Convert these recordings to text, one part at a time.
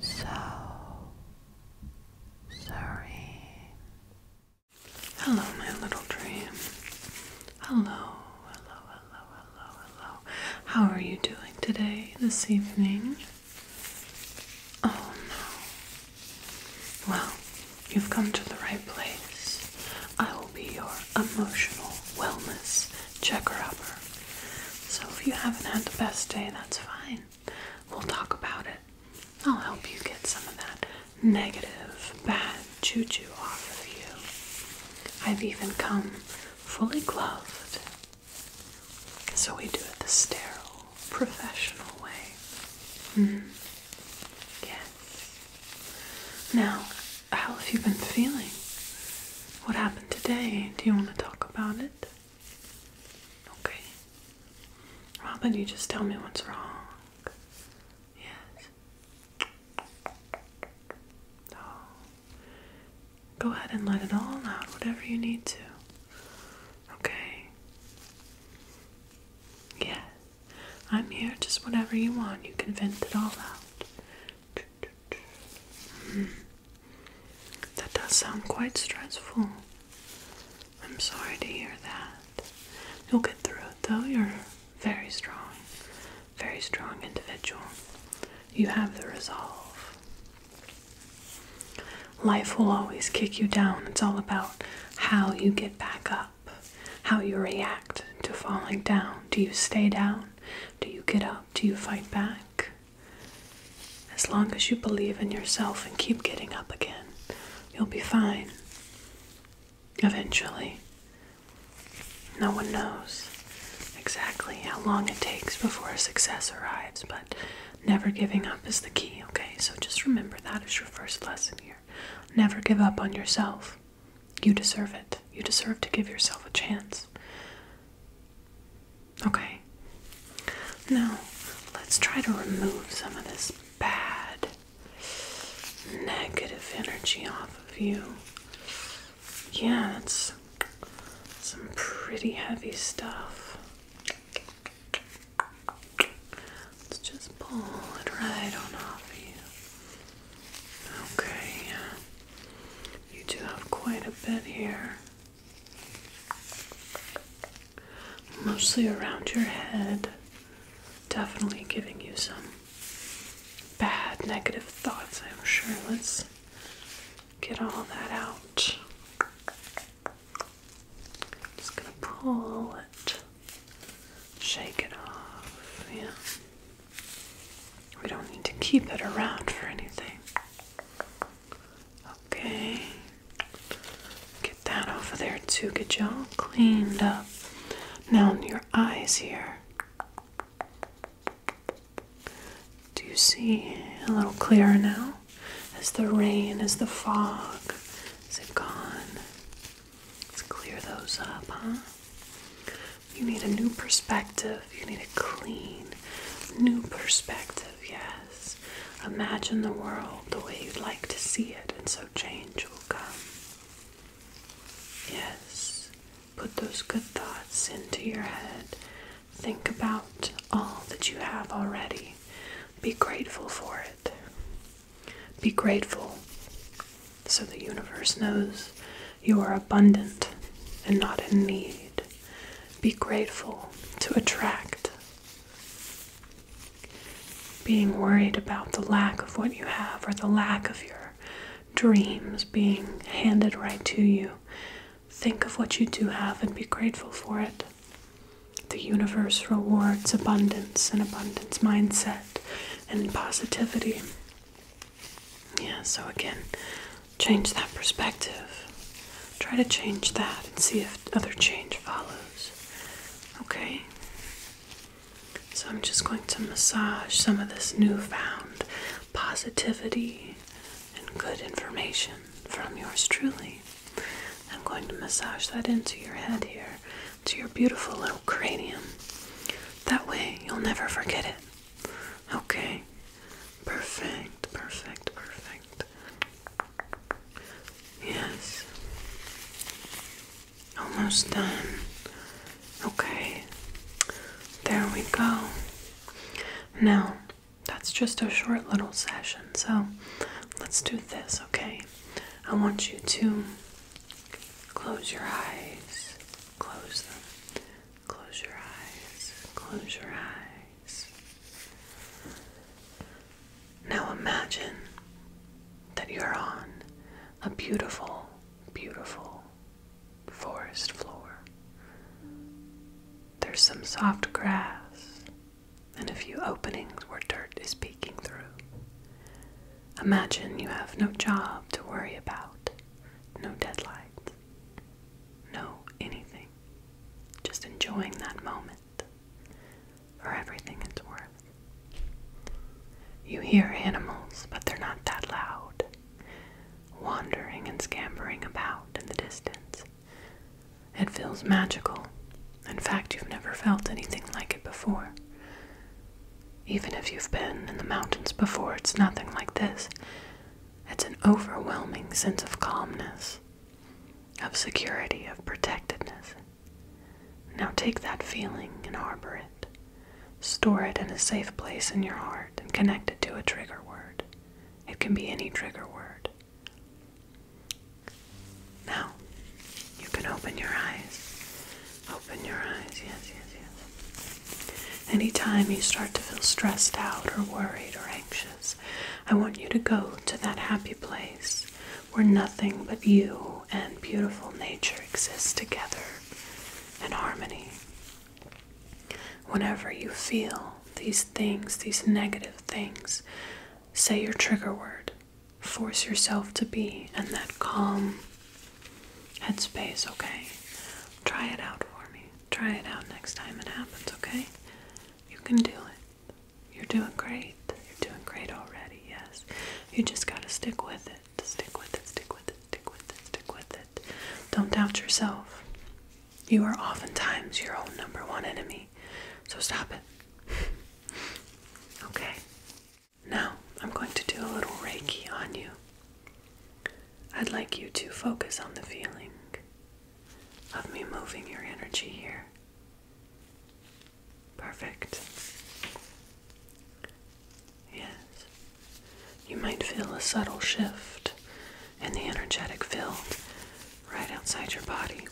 so sorry. Hello, my little dream. Hello, hello, hello, hello, hello. How are you doing today, this evening? Oh no. Well, you've come to the right place. I will be your emotional wellness Check her up. So if you haven't had the best day, that's fine. We'll talk about it. I'll help you get some of that negative, bad choo choo off of you. I've even come fully gloved. So we do it the sterile, professional way. Mm-hmm. Yes. Now, how have you been feeling? What happened today? Do you want to talk about it? Okay. How you just tell me what's wrong? Yes. Oh. Go ahead and let it all out, whatever you need to. Okay. Yeah. I'm here, just whatever you want. You can vent it all out. That does sound quite stressful. I'm sorry to hear that. You'll get through it though. You're very strong, very strong individual. You have the resolve. Life will always kick you down. It's all about how you get back up, how you react to falling down. Do you stay down? Do you get up? Do you fight back? As long as you believe in yourself and keep getting up again, you'll be fine. Eventually. No one knows exactly how long it takes before success arrives, but never giving up is the key, okay? So just remember that is your first lesson here. Never give up on yourself. You deserve it. You deserve to give yourself a chance. Okay. Now, let's try to remove some of this bad, negative energy off of you. Yeah, it's some pretty heavy stuff. Let's just pull it right on off of you. Okay, you do have quite a bit here, mostly around your head, definitely giving you some bad negative thoughts, I'm sure. Let's get all that out. Just gonna pull it Shake it off, yeah. We don't need to keep it around for anything. Okay. Get that over there too. Get you all cleaned up. Now, your eyes here. Do you see a little clearer now? As the rain, as the fog, is it gone? Let's clear those up, huh? You need a new perspective. You need a clean, new perspective, yes. Imagine the world the way you'd like to see it, and so change will come. Yes, put those good thoughts into your head. Think about all that you have already. Be grateful for it. Be grateful so the universe knows you are abundant and not in need. Be grateful to attract. Being worried about the lack of what you have or the lack of your dreams being handed right to you. Think of what you do have and be grateful for it. The universe rewards abundance and abundance mindset and positivity. Yeah, so again, change that perspective. Try to change that and see if other change follows. Okay? So I'm just going to massage some of this newfound positivity and good information from yours truly. I'm going to massage that into your head here, to your beautiful little cranium. That way you'll never forget it. Okay? Perfect, perfect, perfect. Yes. Almost done. Okay. There we go. Now, that's just a short little session. So let's do this, okay? I want you to close your eyes, close them, close your eyes, close your eyes. Now imagine that you're on a beautiful, beautiful forest floor. There's some soft grass, and a few openings where dirt is peeking through. Imagine you have no job to worry about, no deadlines, no anything, just enjoying that moment for everything it's worth. You hear animals, but they're not that loud, wandering and scampering about in the distance. It feels magical. In fact, you've never felt anything like it before. Even if you've been in the mountains before, it's nothing like this. It's an overwhelming sense of calmness, of security, of protectedness. Now take that feeling and harbor it. Store it in a safe place in your heart and connect it to a trigger word. It can be any trigger word. Now, you can open your eyes. Open your eyes, yes, yes, yes. Anytime you start to feel stressed out or worried or anxious, I want you to go to that happy place where nothing but you and beautiful nature exists together in harmony. Whenever you feel these things, these negative things, say your trigger word. Force yourself to be in that calm headspace, okay? Try it out for me. Try it out next time it happens, okay? You can do it. You're doing great. You're doing great already, yes. You just gotta stick with it. Stick with it, stick with it, stick with it, stick with it. Don't doubt yourself. You are oftentimes your own number one enemy. So stop it. okay. Now, I'm going to do a little Reiki on you. I'd like you to focus on the feeling of me moving your energy here. Perfect. Yes breathe. You might feel a subtle shift in the energetic field right outside your body.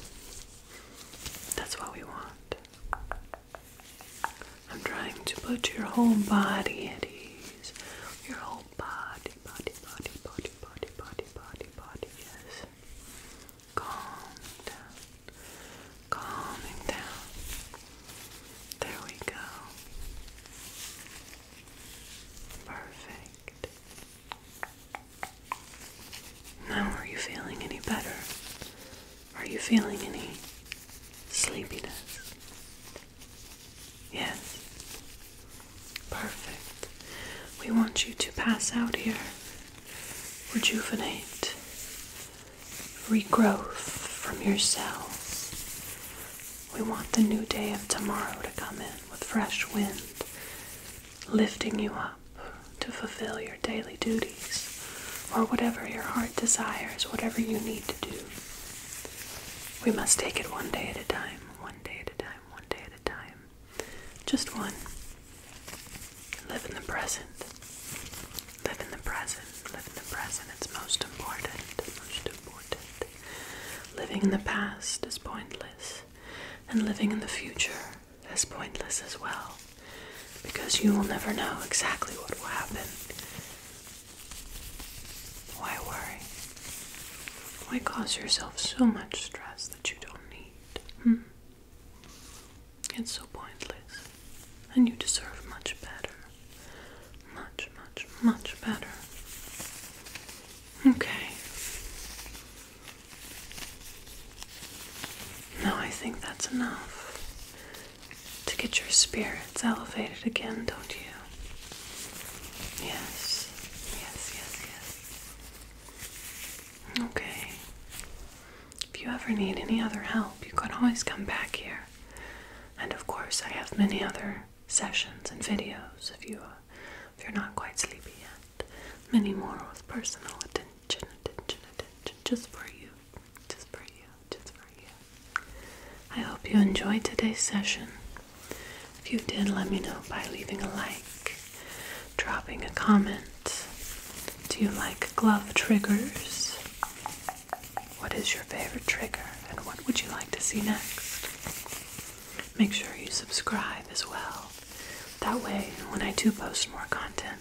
That's what we want. I'm trying to put your whole body at ease. Your whole body, body, body, body, body, body, body, body, yes. Calm down. Calming down. There we go. Perfect. Now, are you feeling any better? Are you feeling any sleepiness? Yes. Perfect. We want you to pass out here, rejuvenate, regrowth from your cells. We want the new day of tomorrow to come in with fresh wind, lifting you up to fulfill your daily duties or whatever your heart desires, whatever you need to do. We must take it one day at a time, one day at a time, one day at a time. Just one. Live in the present. Live in the present. Live in the present. It's most important. Most important. Living in the past is pointless, and living in the future is pointless as well, because you will never know exactly what will happen. Why worry? Why cause yourself so much stress that you don't need? Hmm? It's so pointless. And you deserve much better. Much, much, much better. Okay. Now I think that's enough to get your spirits elevated again, don't you? Yes, yes, yes, yes. Okay. If you ever need any other help, you can always come back here. And of course, I have many other sessions and videos if you uh, if you're not quite sleepy yet. Many more with personal attention, attention, attention, just for you, just for you, just for you. I hope you enjoyed today's session. If you did, let me know by leaving a like, dropping a comment, do you like glove triggers? What is your favorite trigger and what would you like to see next? Make sure you subscribe as well. That way, when I do post more content,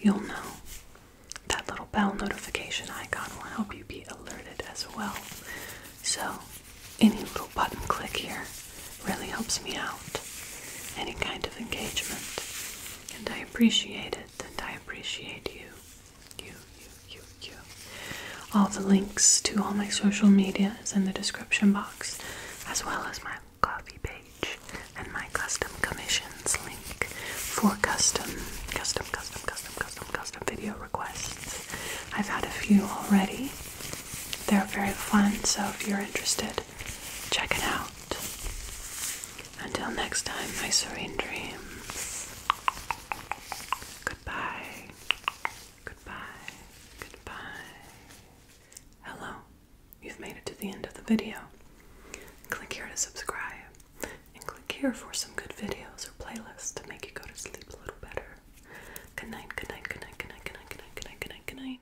you'll know. That little bell notification icon will help you be alerted as well. So, any little button click here really helps me out. Any kind of engagement. And I appreciate it and I appreciate you. You, you, you, you. All the links to all my social media is in the description box, as well as my coffee page and my custom commissions link for custom, custom, custom, custom, custom, custom video requests. I've had a few already. They're very fun, so if you're interested, Check it out. Until next time, my serene dreams. Goodbye. Goodbye. Goodbye. Hello. You've made it to the end of the video. Click here to subscribe. And click here for some good videos or playlists to make you go to sleep a little better. good night, good night, good night, good night, good night, good night, good night, good night.